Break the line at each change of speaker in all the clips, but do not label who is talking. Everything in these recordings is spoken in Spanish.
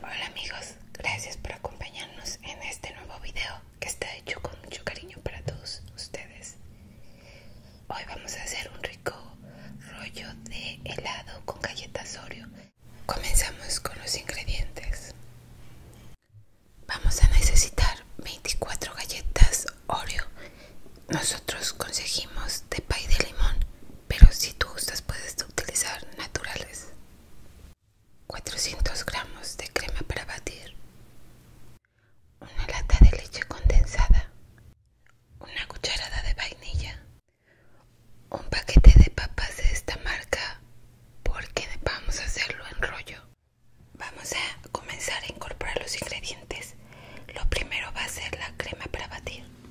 Hola amigos, gracias por acompañarnos en este nuevo video que está hecho con mucho cariño para todos ustedes. Hoy vamos a hacer un rico rollo de helado con galletas Oreo. Comenzamos con los ingredientes. Vamos a necesitar 24 galletas Oreo. Nosotros conseguimos de pay de limón pero si tú gustas puedes utilizar naturales. 400 gramos de crema para batir, una lata de leche condensada, una cucharada de vainilla, un paquete de papas de esta marca porque vamos a hacerlo en rollo. Vamos a comenzar a incorporar los ingredientes. Lo primero va a ser la crema para batir.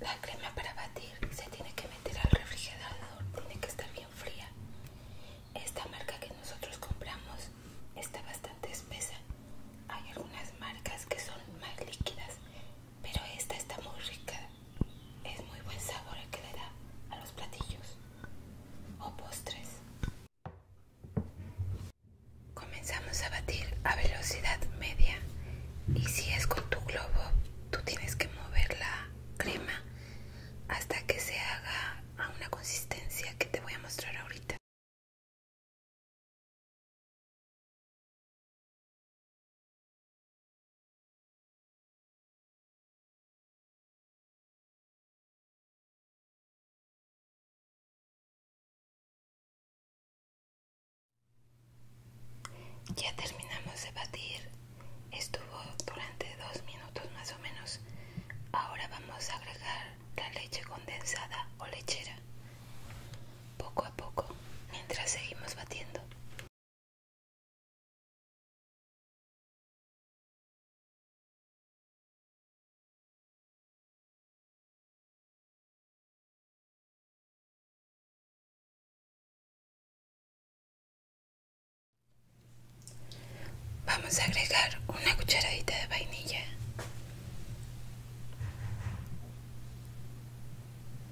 La crema para batir se tiene que meter al refrigerador, tiene que estar bien fría. Esta marca que nosotros compramos está bastante espesa. Hay algunas marcas que son más líquidas pero esta está muy rica. Es muy buen sabor el que le da a los platillos o postres. Comenzamos a batir a velocidad media y si es con tu globo, tú tienes que mover la crema hasta que se haga a una consistencia que te voy a mostrar ahorita. Ya terminamos de batir. Estuvo durante dos minutos más o menos. Ahora vamos a agregar la leche condensada o lechera. Poco a poco, mientras seguimos batiendo. Vamos a agregar una cucharadita de vainilla.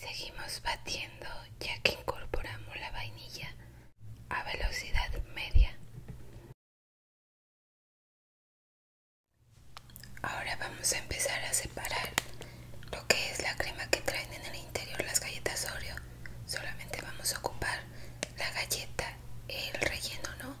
Seguimos batiendo ya que incorporamos la vainilla a velocidad media. Ahora vamos a empezar a separar lo que es la crema que traen en el interior las galletas Oreo. Solamente vamos a ocupar la galleta, el relleno, ¿no?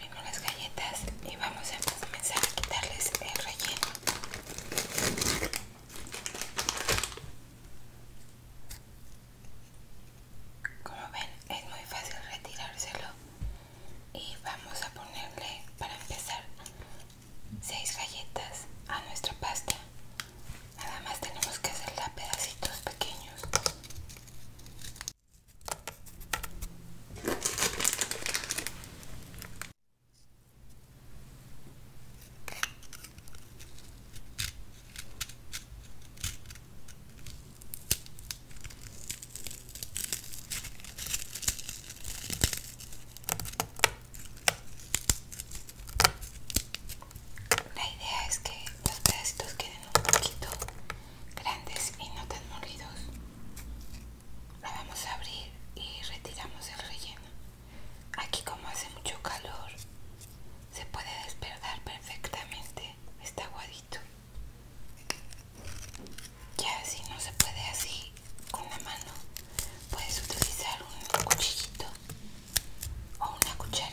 abrimos las galletas y vamos a comenzar a quitarles el relleno. Como ven, es muy fácil retirárselo y vamos a ponerle para empezar 6 galletas a nuestra pasta. Nada más tenemos que hacerla pedacitos pequeños. La idea es que los pedacitos queden un poquito grandes y no tan molidos la vamos a abrir y retiramos el relleno aquí como hace mucho calor se puede despertar perfectamente este aguadito ya si no se puede así con la mano puedes utilizar un cuchillito o una cuchara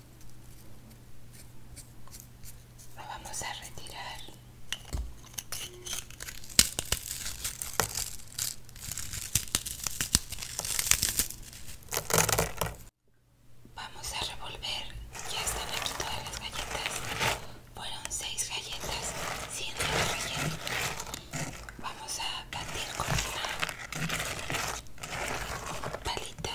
vamos a retirar. Vamos a revolver. Ya están aquí todas las galletas. Fueron seis galletas, 100 relleno. Vamos a batir con una palita.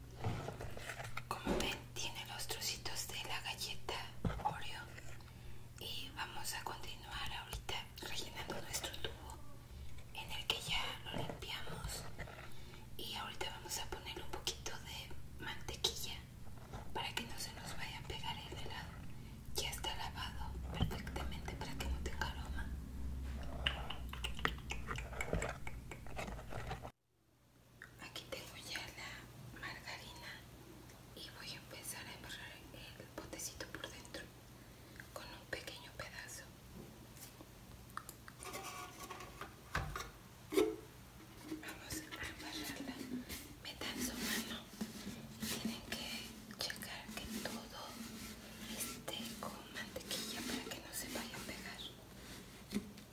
Como ven, tiene los trocitos de la galleta Oreo. Y vamos a continuar ahorita rellenando nuestro tubo en el que ya lo limpiamos. Y ahorita vamos a poner un poquito de mantequilla para que no se nos vaya a pegar el helado. Ya está lavado perfectamente para que no tenga aroma. Aquí tengo ya la margarina y voy a empezar a embarrar el potecito por dentro con un pequeño pedazo. Vamos a embarrarla, metan su mano tienen que checar que todo esté con mantequilla para que no se vaya a pegar.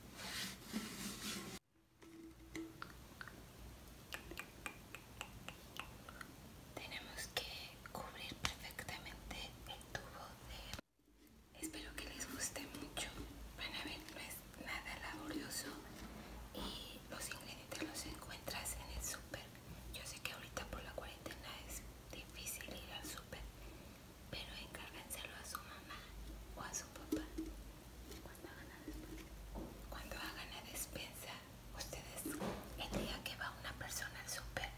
Tenemos que cubrir perfectamente el tubo de... Espero que les guste mucho. Van a ver, no es nada laborioso y los ingredientes los encuentras en el súper. Yo sé que ahorita por la cuarentena es difícil ir al súper pero encárguenselo a su mamá o a su papá. Cuando hagan la despensa, ustedes, el día que va una persona al súper,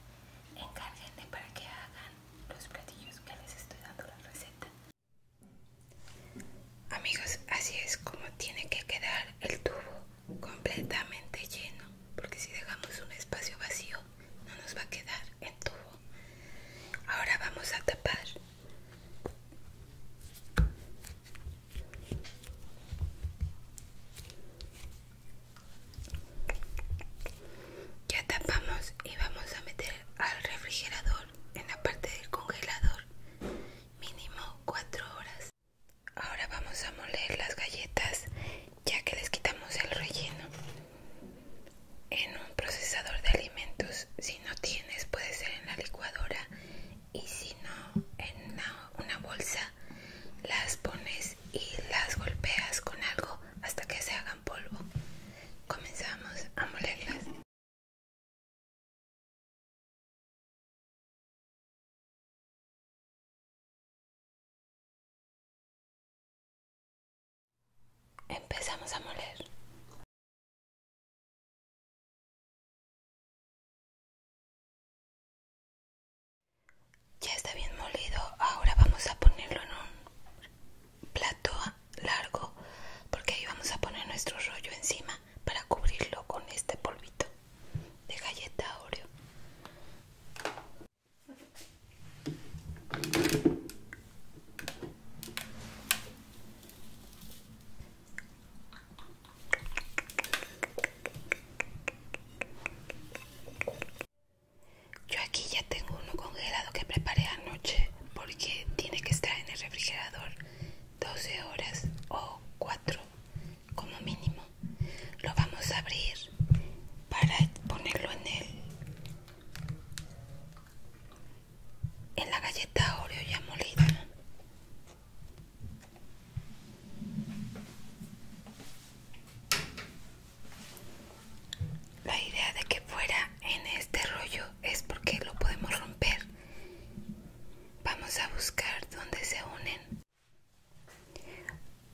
encárguenle para que hagan los platillos que les estoy dando la receta. Amigos, así es como tiene que quedar el tubo completamente lleno, porque si dejamos un espacio vacío, no nos va a quedar el tubo Ahora vamos a tapar. Ya tapamos y vamos a meter al refrigerador en la parte del congelador mínimo 4 horas. Ahora vamos a moler las galletas ya que les quitamos el relleno en un procesador de alimentos si no tienes puede ser en la licuadora y si no en una, bolsa las pones y las golpeas con algo hasta que se hagan polvo comenzamos a molerlas
Empezamos a moler. Ya está bien molido, ahora vamos a
ponerlo en un plato largo porque ahí vamos a poner nuestro rollo encima para cubrirlo con este polvito de galleta Oreo. Yo aquí ya tengo uno congelado que preparé anoche porque tiene que estar en el refrigerador 12 horas o 4 como mínimo. Lo vamos a abrir para ponerlo en el en la galleta Oreo ya molida. La idea de que fuera en este rollo es porque lo podemos romper. Vamos a buscar donde se unen.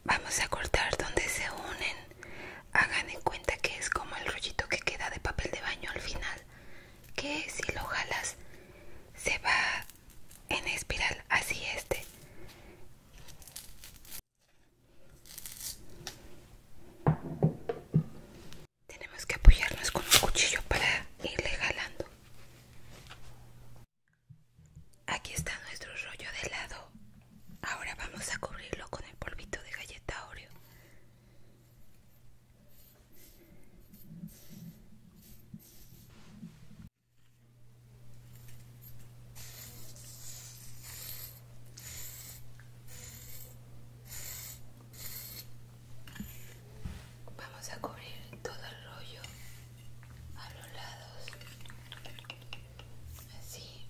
Vamos a cortar donde se unen Hagan en cuenta que es como el rollito que queda de papel de baño al final, que si lo jalas se va en espiral, así este. Tenemos que apoyarnos con un cuchillo para irle jalando. Aquí está nuestro rollo de helado Ahora vamos a cubrirlo con el polvito de galleta Oreo. Vamos a cubrir todo el rollo a los lados, así.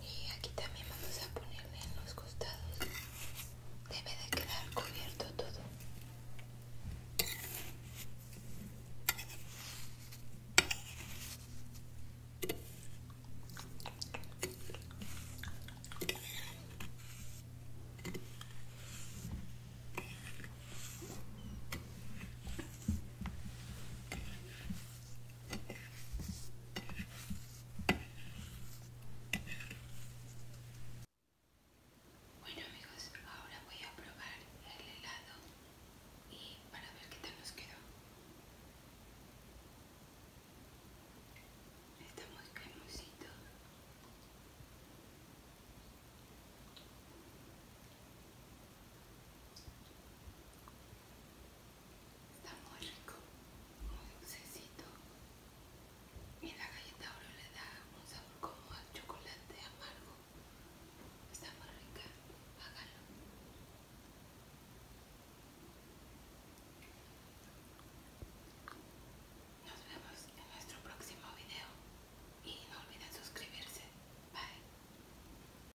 y aquí también vamos a ponerle en los costados debe de quedar cubierto todo bueno amigos, ahora voy a probar el helado y para ver qué tal nos quedó. Está muy cremosito. Está muy rico, muy dulcecito. Y la galleta oro le da un sabor como al chocolate amargo. Está muy rica, hágalo.
Nos vemos en nuestro próximo video y no olviden suscribirse. Bye.